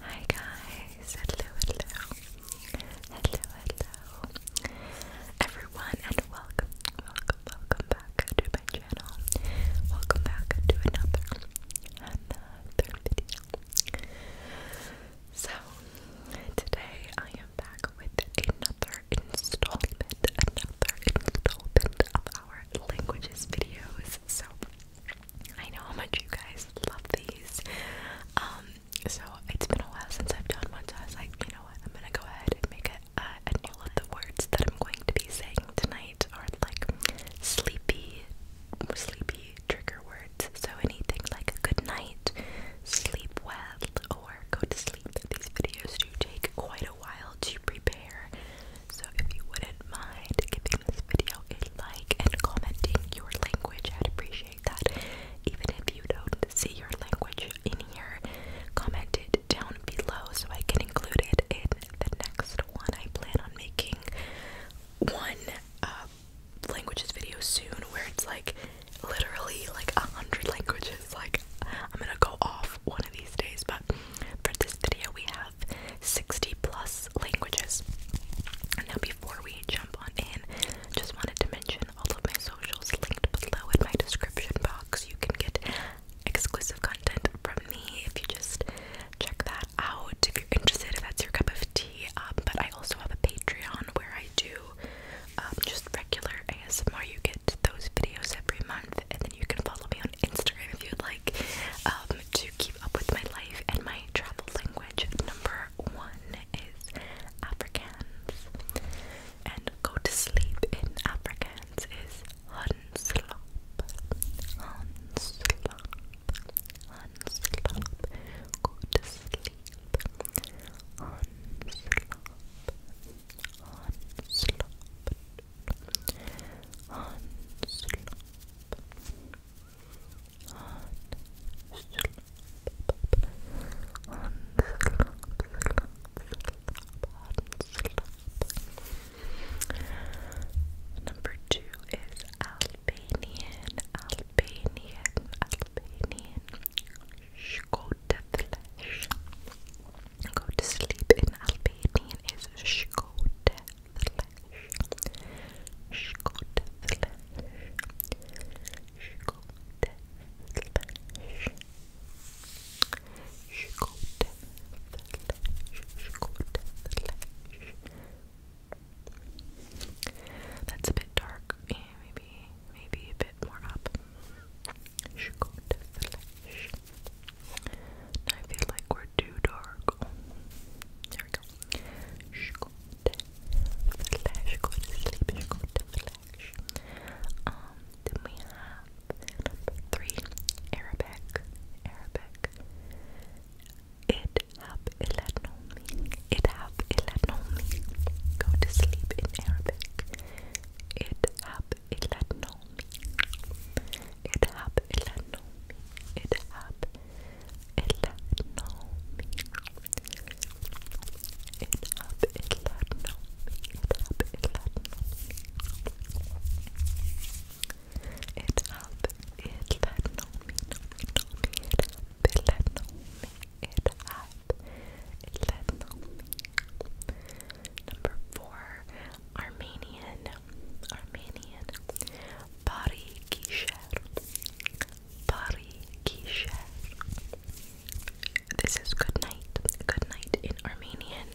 Hi guys, hello, hello, hello, hello, everyone, and welcome, welcome, welcome back to my channel. Welcome back to another, video. So today I am back with another installment, another installment of our languages videos. So I know how much you guys love these. Um, so it's been a while since I've done one, so I was like, you know what, I'm gonna go ahead and make a, uh, a of the words that I'm going to be saying tonight are like sleepy, sleepy trigger words. So anything like good night, sleep well, or go to sleep. These videos do take quite a while to prepare. So if you wouldn't mind giving this video a like and commenting your language, I'd appreciate that. Even if you don't see your language in here, comment it down below so I can include it in the next one. I plan on making one uh, languages video soon where it's like literally like a hundred languages. Like I'm gonna go off one of these days, but for this video we have 60 plus languages. Now, before we jump on in, just wanted to mention all of my socials linked below in my description box. You can get exclusive content from me if you just check that out. If you're interested, if that's your cup of tea. Um, but I also have a Patreon where I do um, just regular ASMR. You get those videos every month, and then you can follow me on on Instagram if you'd like um, to keep up with my life and my travel language. Number one is Afrikaans, and go to sleep in Afrikaans is Hanslop. Hanslop. Hanslop. Go to sleep. Hanslop. Hanslop. Number two is Albanian, Albanian, Albanian. go to flesh. Go to sleep in Albanian is shkote flesh, Scott flesh, Scott flesh, Scott flesh, Scott flesh. That's a bit dark. Yeah, maybe, maybe a bit more up. Scott flesh. I feel like we're too dark. there we go. go to flash, go to sleep, Um, then we have three, Arabic. Arabic. It have ilanomi. It have ilanomi. Go to sleep in Arabic. It have ilanomi. اذهب إلى النوم اذهب إلى النوم اذهب إلى النوم اذهب إلى النوم اذهب إلى النوم اذهب إلى النوم اذهب إلى النوم Number four, Armenian Armenian Pari Kisher This is good night. Good night in Armenian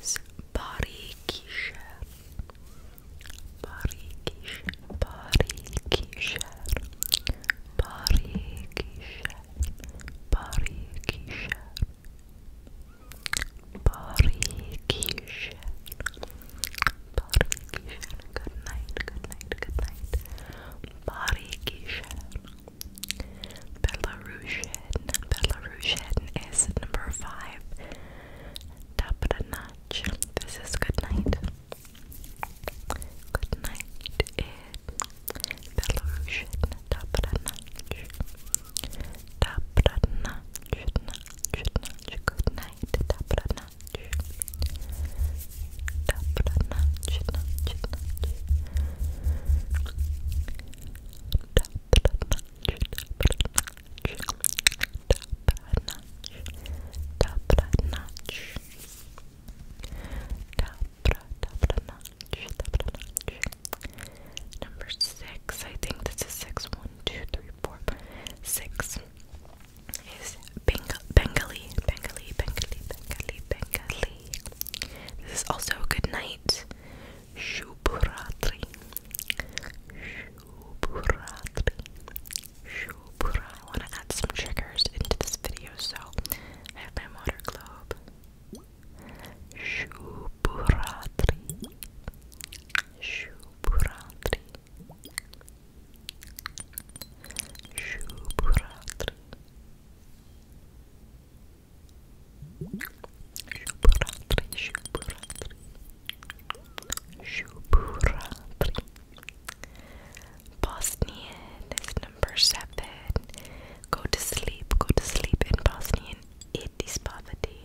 is Pari Kisher Pari Kisher Pari Barikishan. Barikishan. Good night, good night, good night. Barikishan. Belarusian. Belarusian is number five. Dabranach. This is good night. Good night in Belarusian. Dabranach. Добра ночь, ночь, ночь, good night, добра ночь. Добра ночь, ночь, ночь. Добра ночь, добра ночь. Добра ночь, добра ночь. Добра, добра ночь, добра ночь. Number six, I think this is six, one, two, three, four, five, six is Beng Bengali, Bengali, Bengali, Bengali, Bengali. This is also good night. Shubhuratri. Shubhuratri. Shubhuratri. I want to add some triggers into this video, so I have my water globe. Shubhuratri. Shubhuratri. Shubhuratri Shubhuratri Shubhuratri Shubhuratri Shubhuratri Bosnian is number seven. Go to sleep, go to sleep in Bosnian. It is poverty.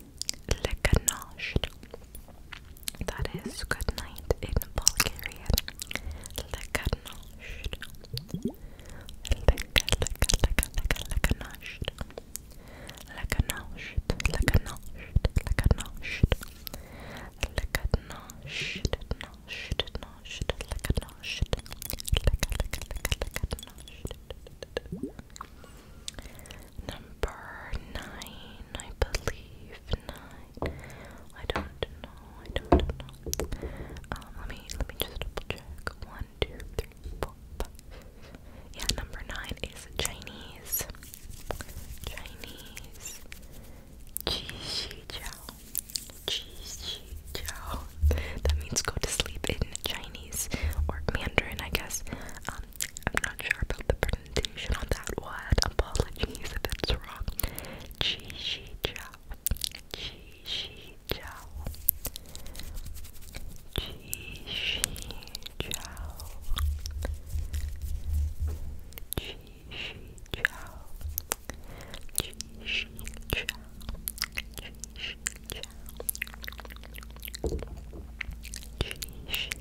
Lekanosht. That is good night in Bulgarian. Lekanosht. Leka, leka, leka, leka, lekanosht. Lekanosht, lekanosht, lekanosht. Lekanosht, nosht, nosht, lekanosht. Leka, leka, leka, lekanosht. Number nine, I believe. Nine. I don't know. I don't know. Um, let me let me just double check. One, two, three, four, five. Yeah, number nine is Chinese. Chinese. Qi jiao. Qi jiao. That means go to sleep in Chinese or Mandarin, I guess. Um, I'm not sure about the pronunciation on that one. Apologies if it's wrong. Chi Chow. Chi Chow. Chi Chow. Chi Chow. Chi Chow. Chi Chow. Chi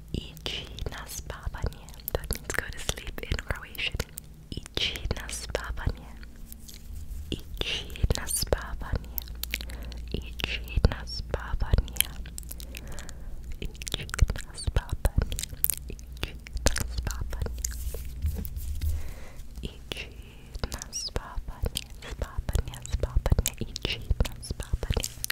Ichi na spavanje. That means go to sleep in Croatian. Ichi na spavanje. Ichi na spavanje. Ichi na spavanje. Ichi na spavanje. Ichi na spavanje. Ichi na spavanje. Spavanje, spavanje. Ichi na spavanje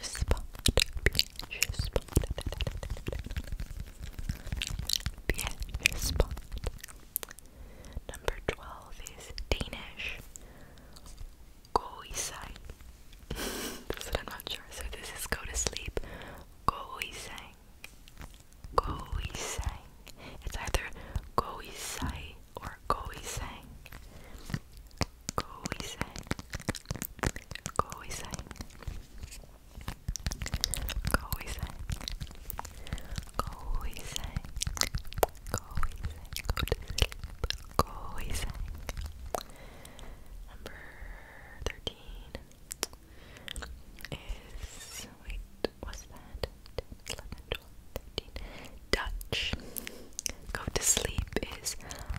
spot, beach Number 12 is Danish Goisai. I'm not sure, so this is go to sleep. Goisang. Goisang. It's either Goisai or Goisang. Go inside. Go inside. Go inside. Go inside. Go Go to sleep. Go inside. Number thirteen is wait, what's that? 10, Dutch. Go to sleep is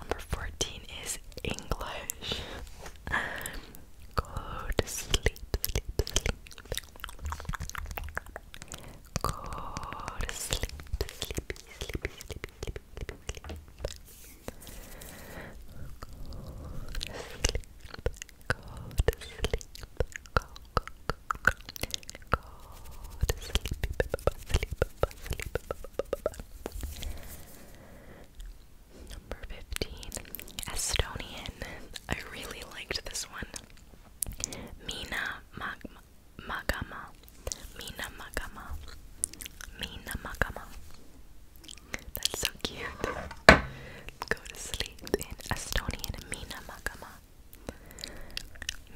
Number 14 is English. Go to sleep, sleep, sleep. sleep, Go to sleep, sleep, sleep, sleep, sleep, sleep. sleep, sleep, sleep, Go to sleep, Go to sleep, Go Go Go Go Go to sleep, sleep, sleep, sleep. sleep, sleep, sleep, sleep Number 15, Estonian. I really liked this one. Mina Magama. Mina Magama. Mina Magama. That's so cute. Go to sleep in Estonian. Mina Magama.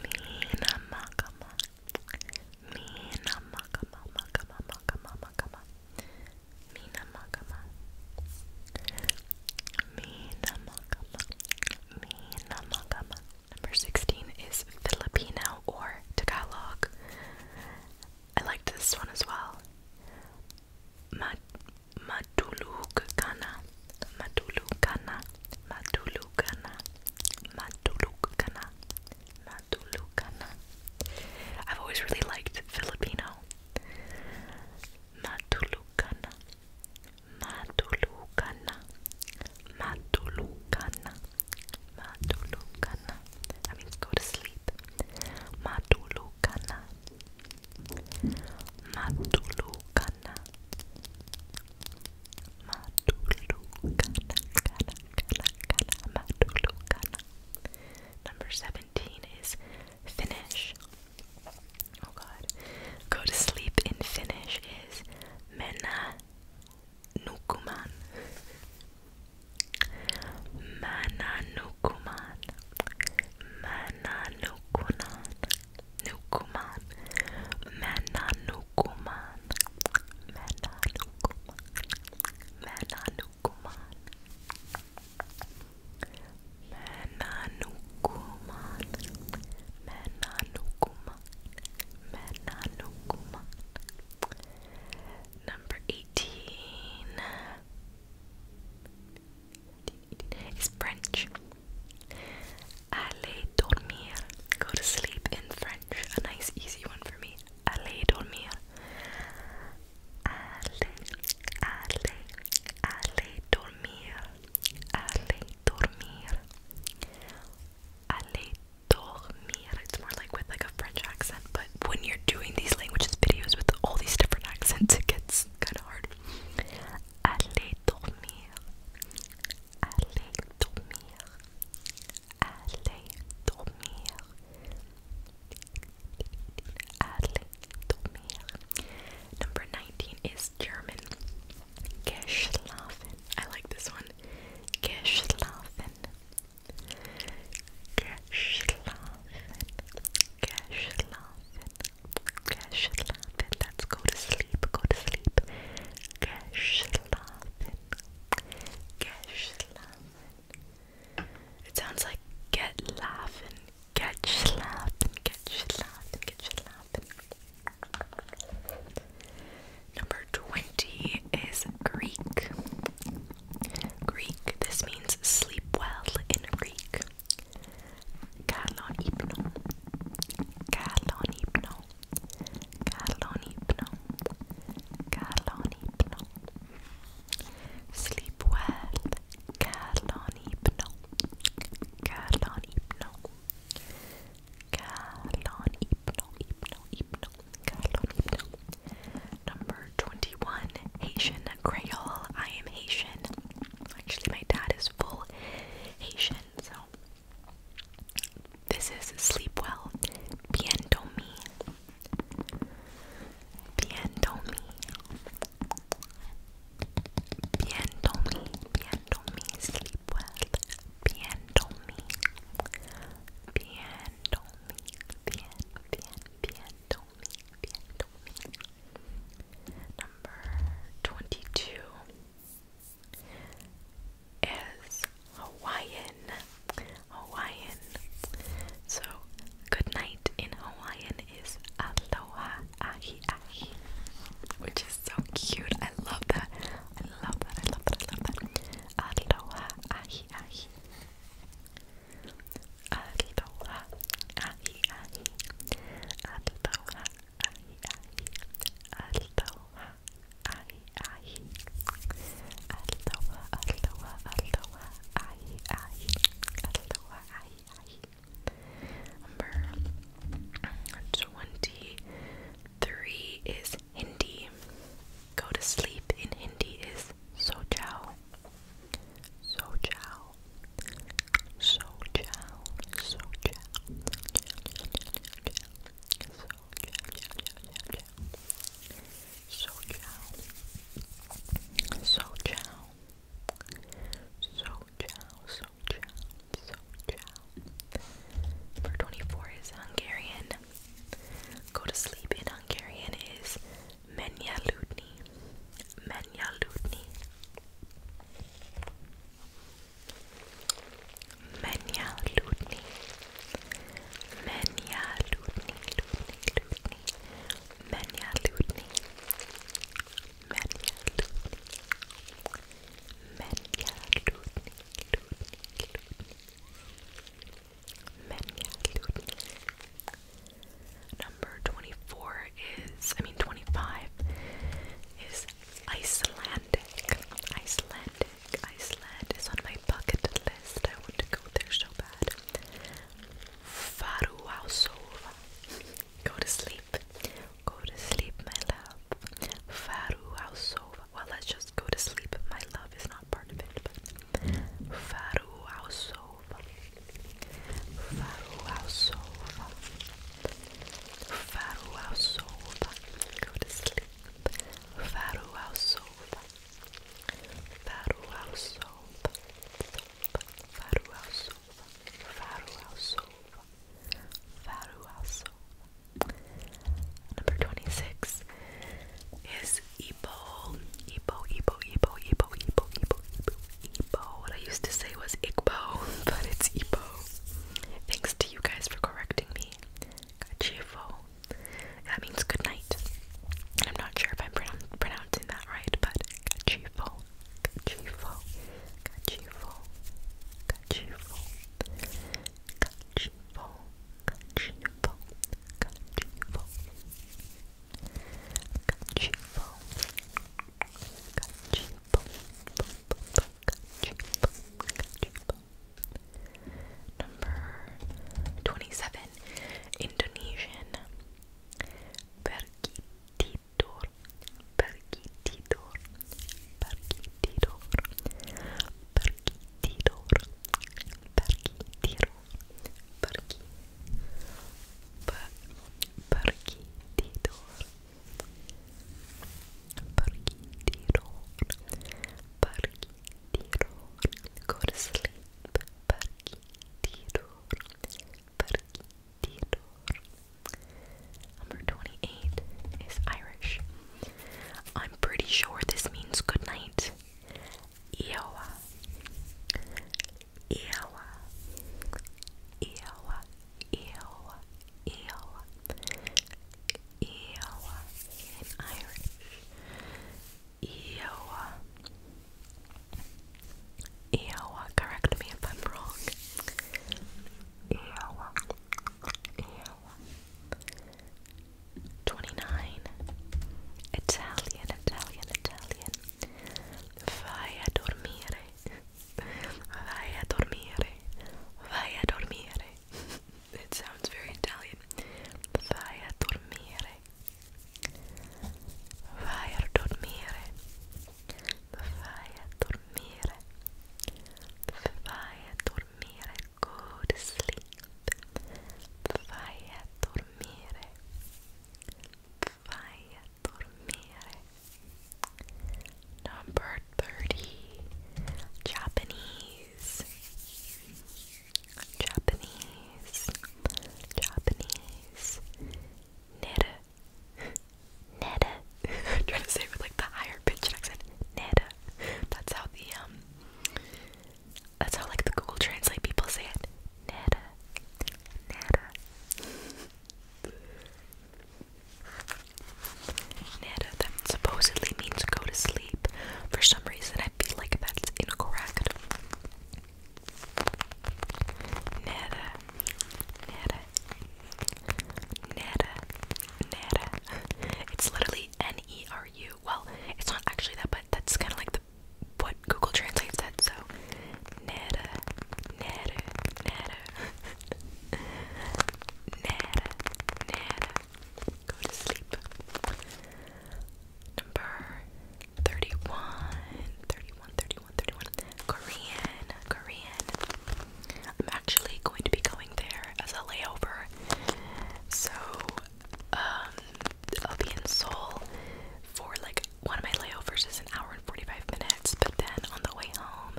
Mina Magama. Mina Makama Makama Makama Number 16 is Filipino or Tagalog. I like this one as well. Mad Matulug kana, matulug kana, Matulukan. I've always really liked Filipino. Matulukan. Matulukan. Matulukan. Matulukan. That means go to sleep. Matulukan. Matulukan. Matulukan. Number 17 is Finnish. Oh god. Go to sleep in Finnish is mennä nukuman. Mennä nukuman. Mennä nukumaan. Nukuman. Mennä nukumaan. Mennä nukumaan. Menanukuman. Menanukuman. Menanukuman. Menanukuman. Number 18 is French. Allez dormir. Go to sleep in French. A nice, easy one for me a dormir. A lei, a dormir. A dormir. A dormir. It's more like with like a French accent, but when you're doing these languages videos with all these different accents, it gets kind of hard. Allez dormir. Allez dormir allez dormir allez dormir number 19 is German geschlafen I like this one geschlafen geschlafen geschlafen geschlafen let's go to sleep go to sleep geschlafen geschlafen it sounds like get laughing, get slapping, get slapping, get slapping. Number 20 is Greek. Greek, this means sleep well in Greek. Kalon hypno. Kalon hypno. Kalon hypno. Carla on Hypno. Sleep well, Carla on Hypno. Carla on Hypno. Carla on Hypno, Hypno, Hypno. Carla on Hypno. Number 21, Haitian Creole. I am Haitian. Actually, my dad is full Haitian, so. This is Sleep Well, Bien Dormi, Bien dormi. Bien dormi. Bien dormi. Sleep well. Bien dormi. Bien dormi. Bien, bien, bien dormi. Bien dormi. Number 22 is Hawaiian. Hawaiian. So, good night in Hawaiian is aloha ahi ahi, which is so cute. I love that. I love that. I love that. I love that. Aloha ahi ahi. Aloha ahi ahi. Aloha ahi ahi. Aloha ahi ahi Aloha aloha aloha ahi ahi Aloha ahi ahi Number 23 is Hindi Go to sleep in Hindi is so chow so chow so chow so chow so chow so ciao. So ciao. So ciao. So ciao. So ciao. Number 24 is Hungarian. Go to sleep in Hungarian is Menya Ludni. Menya Ludni. Menya Ludni. Menja Ludni, Ludni, Ludni, Menja Ludni, Number 24 is, I mean 25 is Icelandic. Icelandic, Iceland is on my bucket list. I want to go there so bad. Faruasova. Go to sleep. Go to sleep, my love. Faruasova. Well, let's just go to sleep. My love is not part of it, but Faruasova. Faruasova. Faruasova. Go to sleep. Faruasova. Farewell soap, soap, farewell Number 26 is Igbo, Igbo, Igbo, Igbo, Igbo, Igbo, Igbo, Igbo, Igbo. What I used to say was Igbo, but it's Igbo. Thanks to you guys for correcting me. Kachifo, that means good night. I'm not sure if I'm pronoun pronouncing that right, but kachifo, kachifo, kachifo, kachifo, kachifo, kachifo, kachifo, kachifo, kachifo, kachifo, kachifo, Number 27. Indonesian. Pergititor. Pergititor. Pergititor. Pergititor. Pergititor. Pergi. Per, pergi tidur. Tirol, go to sleep. Parchi, Tirol, Parchi, Number 28 is Irish. I'm pretty sure this means good night. Eowa, Eowa, Eowa, Eowa, Eowa, Eowa in Irish. Iowa. Iowa, correct me if I'm wrong. Iowa. Iowa. 29. Italian, Italian, Italian. Vai a dormire. Vai a dormire. Vai a dormire. It sounds very Italian. Vai a dormire vai a dormire vai a dormire vai a dormire go sleep vai a dormire vai a dormire number 30 Japanese Japanese, Japanese, Neda, Neda. trying to say it like the higher pitch accent. Neda. That's how the um. That's how like the Google Translate people say it. Neda, Neda, Neda. That supposedly means go to sleep. For some reason, feel like that's incorrect. Nada, nada, nada, nada. It's literally N E R U. Well, it's not actually that, but that's kind of like the what Google translates that. So, nada, nada, nada, nada, nada, Go to sleep. Number 31, Korean, Korean. I'm actually going to be going there as a layover. So, um, I'll be in Seoul for like one of my layovers is an hour and 45 minutes, but then on the way home,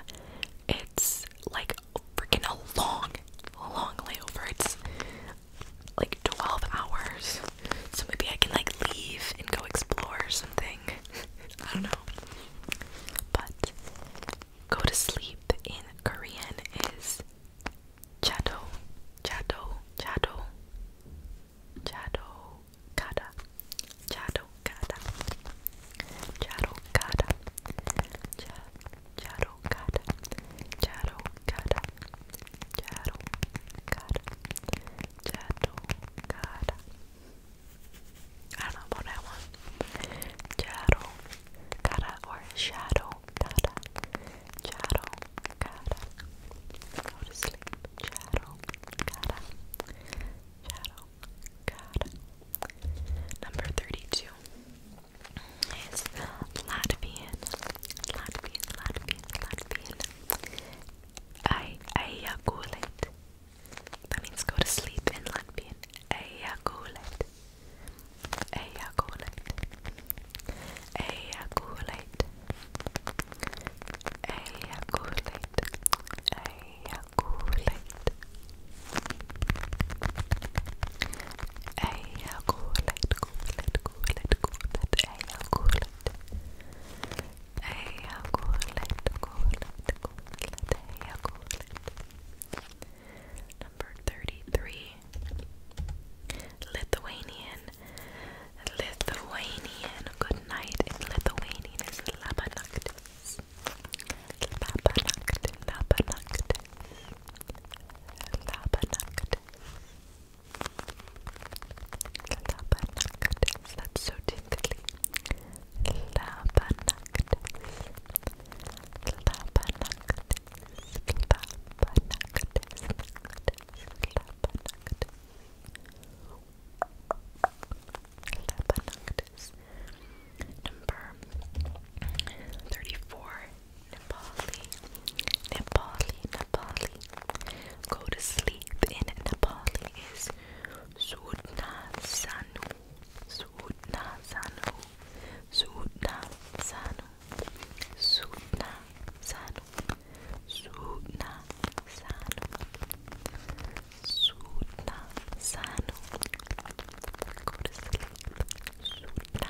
it's like freaking a long, long layover like 12 hours. So maybe I can like leave and go explore or something. I don't know. But go to sleep in Korean is 자도, 자도, 자도, 자도 가다, 자도 가다, 자도 가다, 자, 자도 Charo cara, charo cara, I don't know about that one. Charo cara or shadow cara, charo cara. Number thirty-two is Latvian, Latvian, Latvian, Latvian. I ejaculate. That means go to sleep in Latvian. Ejaculate. Ejaculate. Ejaculate. Ejaculate. Ejaculate. أيقولت قولت قولت قولت أيقولت أيقولت Number 33 Lithuanian Lithuanian Good night in Lithuanian is Labanaktis Labanaktis Labanaktis Labanaktis Labanactis. That's so tingly. Labanactis. Labanactis. Labanactis. Labanactis. Number 34 Nepali, Nepali, Nepali. Go to sleep in Nepali is Sudna Sanu, Sudna Sanu, Sudna Sanu, Sudna Sanu, Sudna Sanu, Sudna Sanu. Go to sleep, Sudna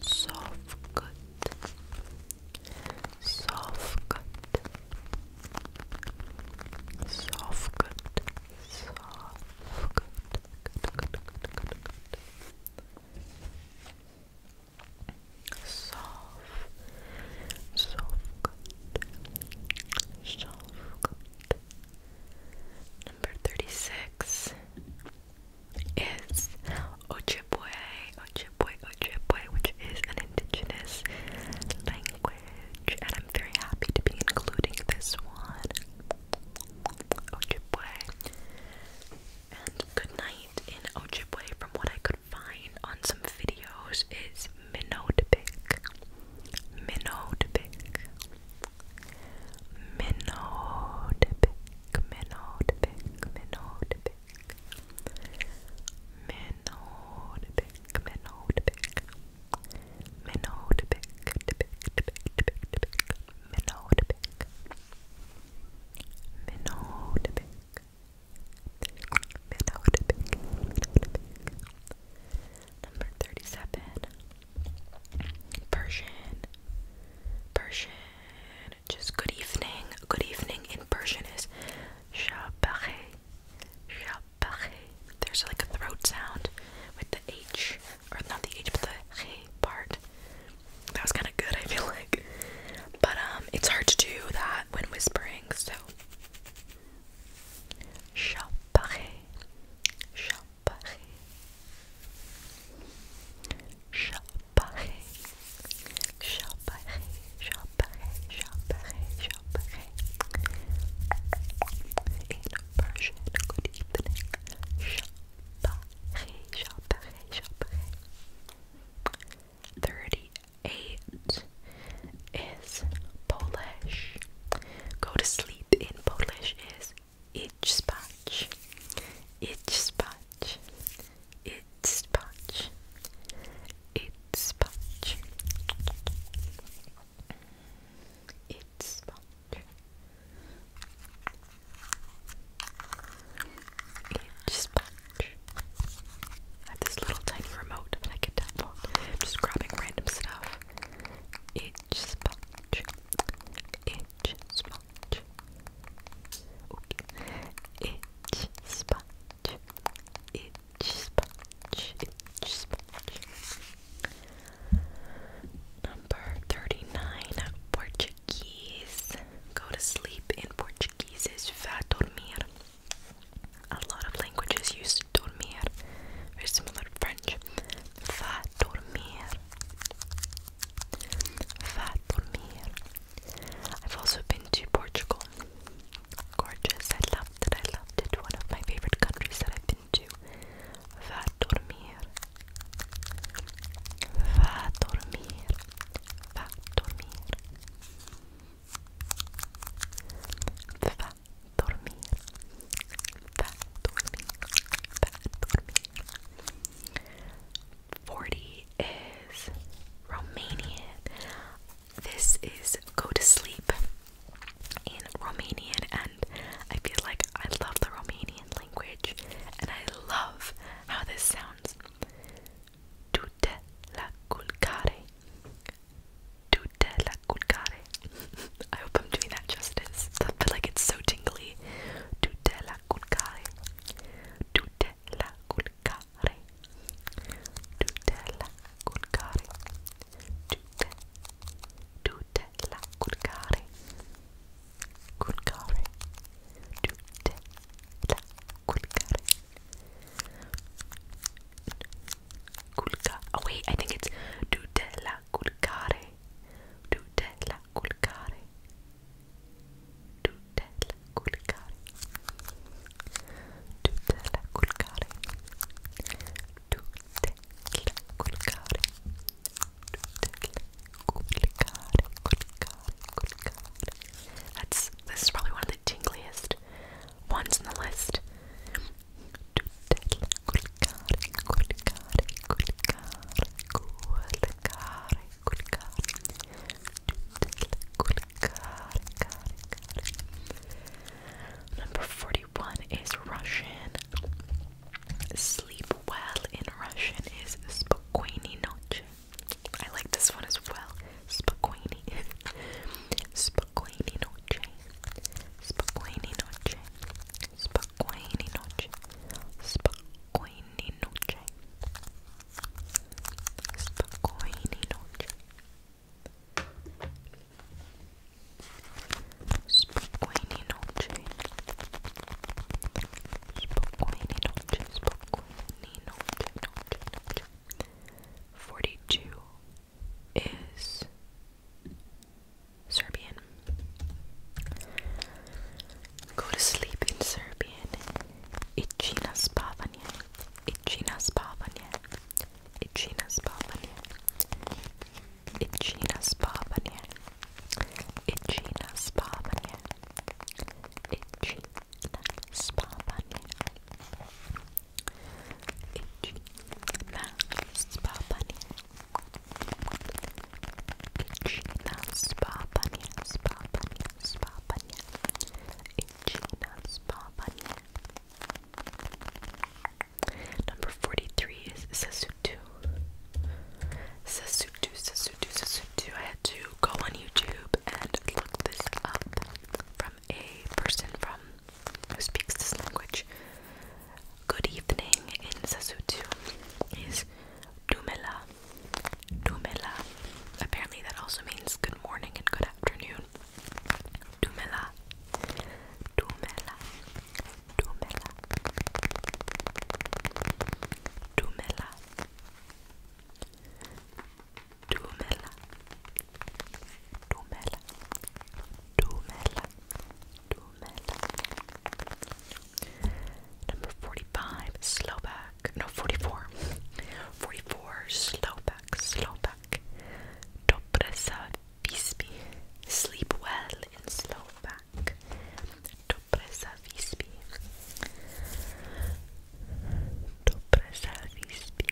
soft cut soft cut soft cut soft cut cut cut cut cut cut soft soft cut soft cut number 36 is Ojibwe, Ojibwe, Ojibwe, which is an indigenous language, and I'm very happy to be including this one. Ojibwe. And good night in Ojibwe, from what I could find on some videos, is Minodbik. Minodbik. Minodbik. Minodbik. Minodbik pick. Minnow to pick, minnow to pick. Minnow to pick, to pick, to pick, to pick, to pick. Minnow to pick. Minnow to pick. Minnow to pick. Number 37. Persian. Persian just good evening. Good evening in Persian is Shabare. Shabare. There's like a throat sound with the H, or not the H, but the H part. That was kind of good, I feel like. But um, it's hard to do that when whispering, so. Shabare. Shabare. Shabare pareil, chat pareil, chat pareil, In Persian, good evening. Chat pareil, chat pareil, 38 is Polish. Go to sleep in Polish is ich spać. Ich spać it's patch, it's patch, it's patch. It's patch. I have this little tiny remote that I can tap on. I'm just grabbing random stuff. Itch sponge. Itch sponge. Okay. Itch sponge. Itch sponge. Itch sponge. Number 39. Portuguese. Go to sleep in Portuguese is vá dormir. A lot of languages use dormir. Very similar to French. Va dormir. Fatimir. I've also been to Portugal. Gorgeous. I loved it. I loved it. One of my favorite countries that I've been to. Va dormir. Va dormir. Va dormir. Va dormir. Va dormir. Va dormir. 40 is Romanian. This is Go to Sleep in Romanian, and I feel like I love the Romanian language, and I love how this sounds. Dute la culcare. Dute la culcare. I hope I'm doing that justice. I feel like it's so tingly. Dute la culcare. Dute tutela culcare tutela culcare tute tutela culcare culcare tutela culcare culca oh wait I think it's tutela culcare tutela culcare that's this is probably one of the tinglyest ones in on the list Number 41 is Russian. Sleep well in Russian is spokojni noche. I like this one as well. Spokojni. Spokojni noche. Spokojni noche. Spokojni noche. Spokojni noche. Spokojnej nocy. Spokojnej nocy. Spokojnej nocy. Spokojnej nocy. nocy, nocy. Forty-two is Serbian. Go to sleep in Serbian. Ichina spavanje. Ichina spavanje. Ichina spavanje. Ichina spavanje. Ichina spavanje. Ichina spavanje. Ichina spavanje. Ichina spavanje. Spavanje. Spapania. Ichina Spapania. Number 43 is Sasutu. Sasutu, Sasutu, Sasutu. I had to go on YouTube and look this up from a person from who speaks this language. Good evening in Sasutu is Dumela. Dumela. Apparently that also means good morning and good afternoon. Dumela. Dumela. Dumela. Dumela. Dumela. Dumela. Dumela. Dumela. Number 45, Sloba no, 44. 44 Slovak, Slovak. Dobre sa vyspí. Sleep well in Slovak. Dobre sa vyspí. Dobre sa vyspí.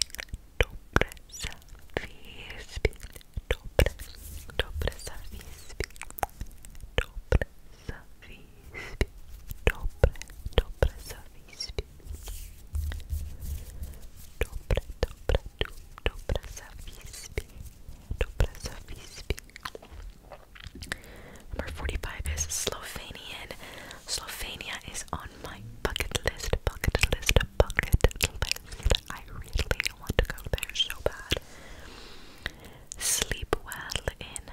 Dobre sa vyspí. Dobre, dobre sa vyspí. Dobre sa wyspie. Dobre, dobre, dobre, dobre za wyspie. Number 45 is Slovenian. Slovenia is on my bucket list, bucket list, bucket list. I really want to go there so bad. Sleep well in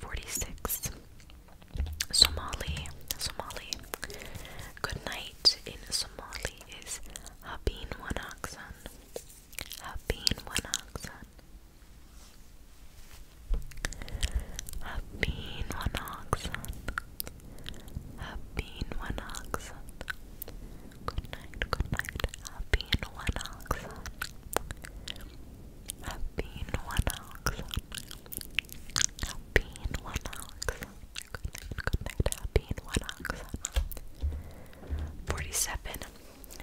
46. Somali. Somali. Good night in Somali is Habin Wanaksan. Habin Wanaksan. Habin Wanaksan. Habin Wanaksan. Good night, good night. Habin Wanaksan. Happy Nwanakson. Happy Nwanakson. Good night, good night. Happy Nwanakson. 47.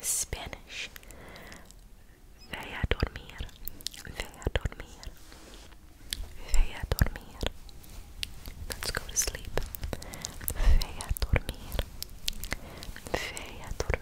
Spanish. Ve a dormir. Ve a dormir. Ve a dormir. Let's go to sleep. Ve a dormir. Ve a dormir.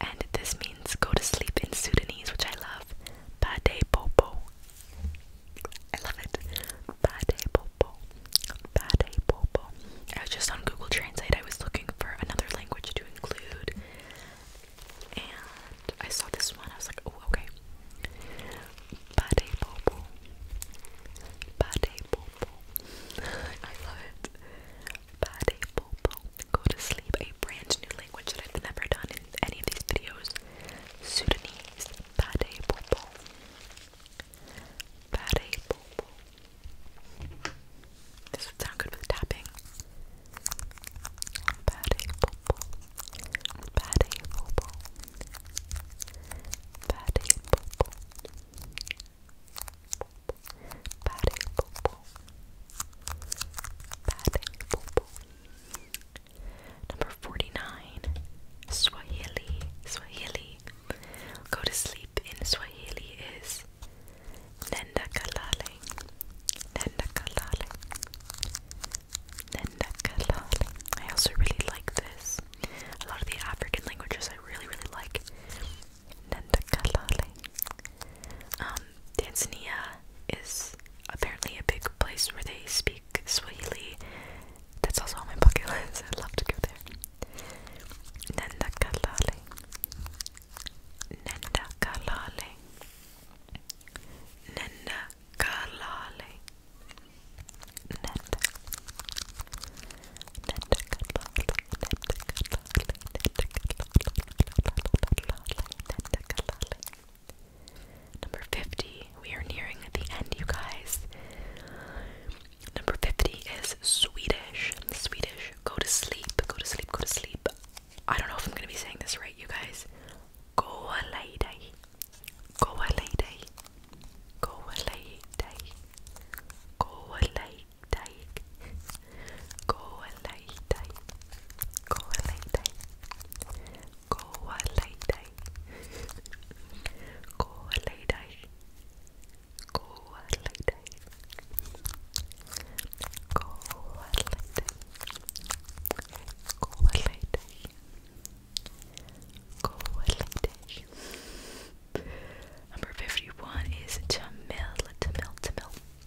and this means go to sleep in Sudanese, which I love. Bade popo. I love it. Bade popo. Bade popo. I was just on Google Translate. I was looking for another language to include, and I saw this one. I was like, okay. Bade popo. Bade popo. I love it. Bade popo. Go to sleep, a brand new language that I've never done in any of these videos. Sudanese, Bade Bobo. Bade Bobo. This would sound good with tapping. Bade Bobo. Bade Bobo. Bade Bobo. Patting poo Number 49. Swahili. Swahili. Go to sleep in Swahili is Nenda Kalale. Nenda Kalale. Nenda Kalale. I also really like this. A lot of the African languages I really, really like. Nandakalale. Um, Tanzania is apparently a big place where they speak Swahili. That's also on my bucket list. I'd love to go there. Nandakalale. Nandakalale. Nandakalale. Nanda. Nandakalale. Nandakalale. Nandakalale. Number 50. We are nearing the end, you guys. Number 50 is Swedish. Swedish. Go to sleep. Go to sleep. Go to sleep. I don't know if I'm going to be saying this right, you guys. Go away, day. Go away, day. Go away, day. Go lay Taik. Koalai Tai. Koalai Tai. Koalai Tai. Koalai Tai. Koalai Tai. Koalai Tai. Koalai Tai. Number 51 is Tamil, Tamil, Tamil,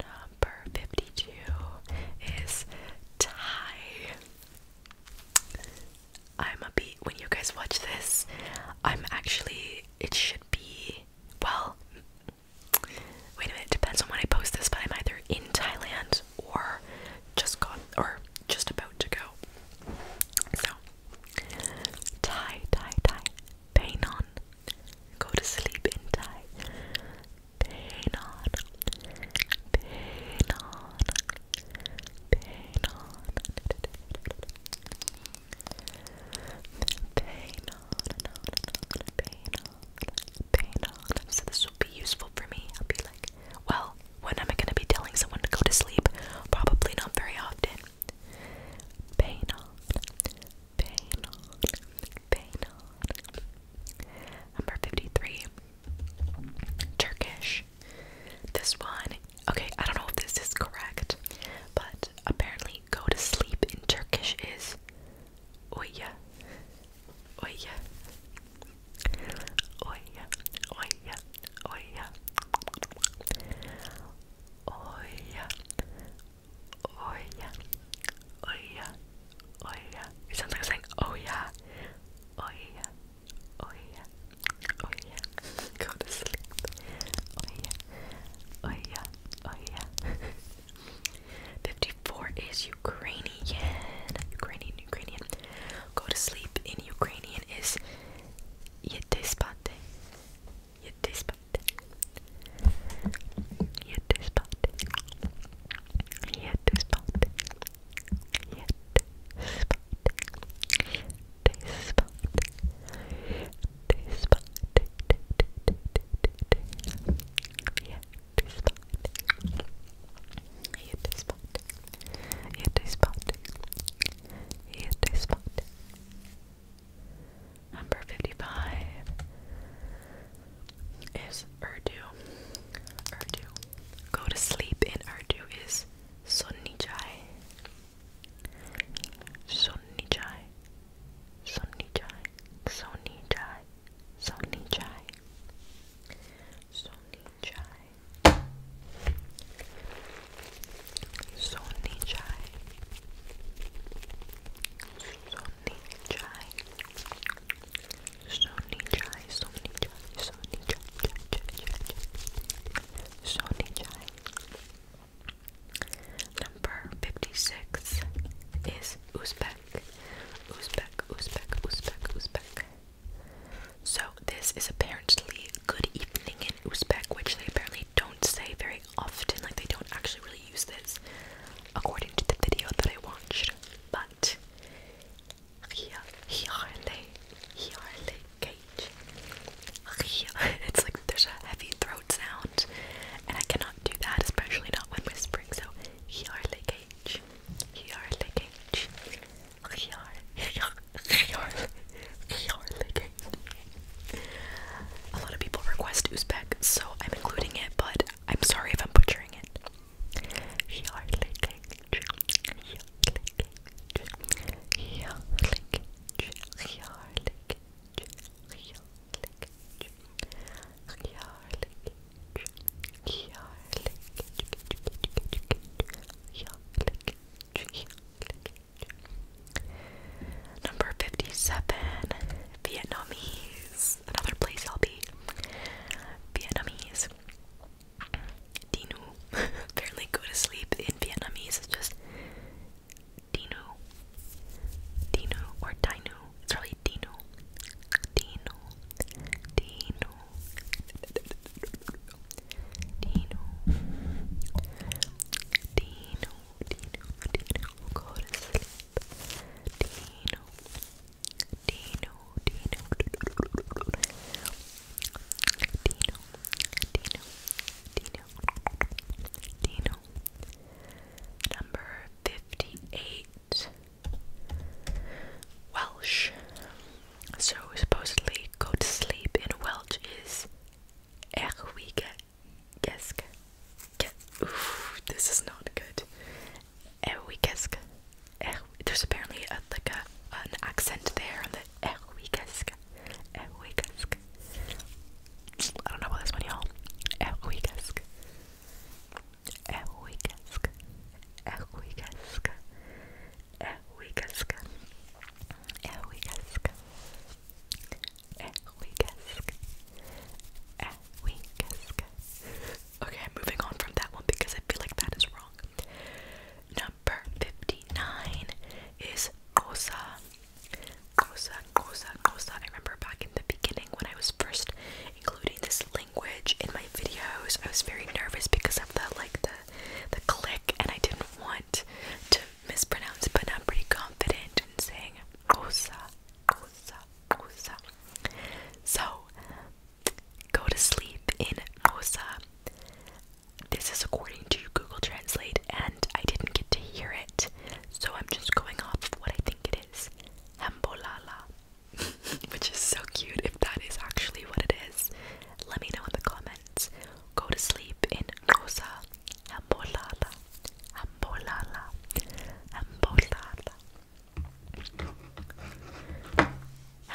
Number 52 is Thai. I'm a beat when you guys watch this. I'm actually, it should be, well, wait a minute, depends on when I post this, but I'm either in Thailand or just gone or just about to go. So tie, tie, tie, pain on. Go to sleep in tie. Pain on, pain on, pain on, pain on, pain on, pain on. So this will be useful for me. I'll be like, well, when am I going to be telling someone to go to sleep? Probably not very often. Pain pain pain Number 53, Turkish. This one, okay, I don't know if this is correct, but apparently go to sleep in Turkish is oya, oya, Oia, oia, oia. Oia, oia, oia, oia. It sounds like I'm saying oh yeah. Oh yeah, oh yeah, oh yeah. Go to sleep. Oh yeah, oh yeah, oh yeah. 54 is Ukrainian. Ukrainian, Ukrainian. Go to sleep in Ukrainian mean is yetespate. Yetespate. Yetespate. Yetespate. Yetespate. Yetespate. It is Hit a spot. Number 55 is Urdu. Urdu. Go to sleep in Urdu is Sunni Chai. Sunni Chai. Sunni Chai. Sunni Chai. Sunni Chai. Sunni Chai. Sunny chai. Sunny chai. Sunny chai. Sunny chai. Sunny chai. Sunny chai. Number fifty-six is Uzbek. Uzbek. Uzbek. Uzbek. Uzbek. So this is apparently good evening in Uzbek, which they apparently don't say very often. Like they don't actually really use this, according to the video that I watched. But here, cage. It's like there's a heavy throat sound, and I cannot do that, especially not when whispering. So, cage, cage. A lot of people request Uzbek, so I'm including it, but I'm sorry if I'm butchering it. Number 57, Vietnamese. Another place I'll be. Vietnamese. Dinu. Apparently go to sleep in Vietnamese is just Dinu. Dinu or Dinu. It's really Dinu. Dinu. Dinu. Dino, Dino, Dino, Dino, go to sleep. Dino, Dino, Dino, Dino, Dino, Dino, Dino, Dino. Number fifty-eight. Welsh so supposedly go to sleep in Welsh is Erwigesk. Oof, this is not good. Erwigesk. There's apparently a, like a, an accent there on the Erwigesk. Erwigesk. I don't know about this one, y'all. Erwigesk. Erwigesk. Erwigesk é Wigask. É Wigask. É Wigask. É Wigask. Okay, I'm moving on from that one because I feel like that is wrong. Number 59 is Cosa. Cosa, Cosa, Cosa. I remember back in the beginning when I was first including this language in my videos, I was very nervous because of the like the the click, and I didn't want to mispronounce, but I'm pretty confident in saying Osa, Osa, Osa. So, go to sleep in Osa. This is according to Google Translate, and I didn't get to hear it, so I'm just going off of what I think it is. Hambolala, which is so cute. If that is actually what it is, let me know in the comments friends go to sleep in Rosa Ambolala. Ambolala. Ambolala.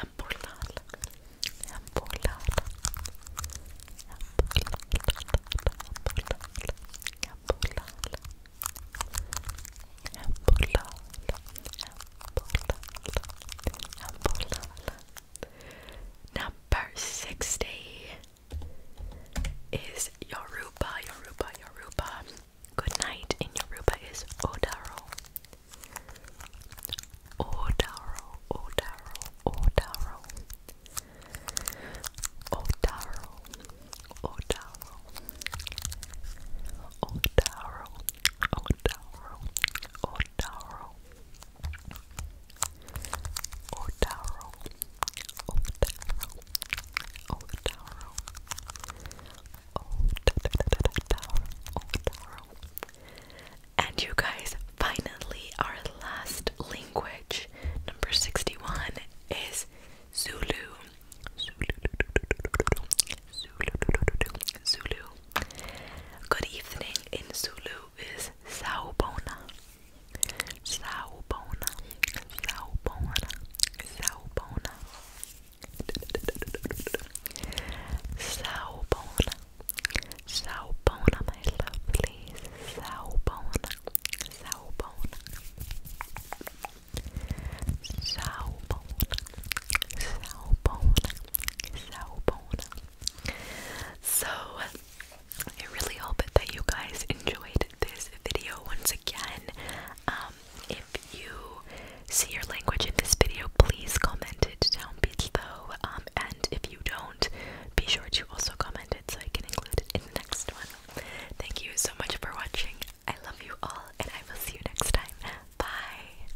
Ambolala. Ambolala. Ambolala. Ambolala. Ambolala. Number 60 is Yoruba, Yoruba, Yoruba. Good night in Yoruba is Odaro. Odaro, Odaro, Odaro. Odaro, Odaro. Odaro, Odaro, Odaro. Otaro, Otaro, Otaro, Otaro, Otaro. And you guys, finally, our last language, number 61, is Zulu. Zulu. Zulu. Zulu. Good evening in Zulu is Saubona. Saubona. Saubona. Saubona. Saubona. Saubona, my lovely. Saubona. Saubona. Saubona. Saubona. Saubona. So, I really hope that you guys enjoyed this video once again. Um, if you see your language in this video, please comment it down below. Um, and if you don't, be sure to also comment it so I can include it in the next one. Thank you so much for watching. I love you all, and I will see you next time. Bye.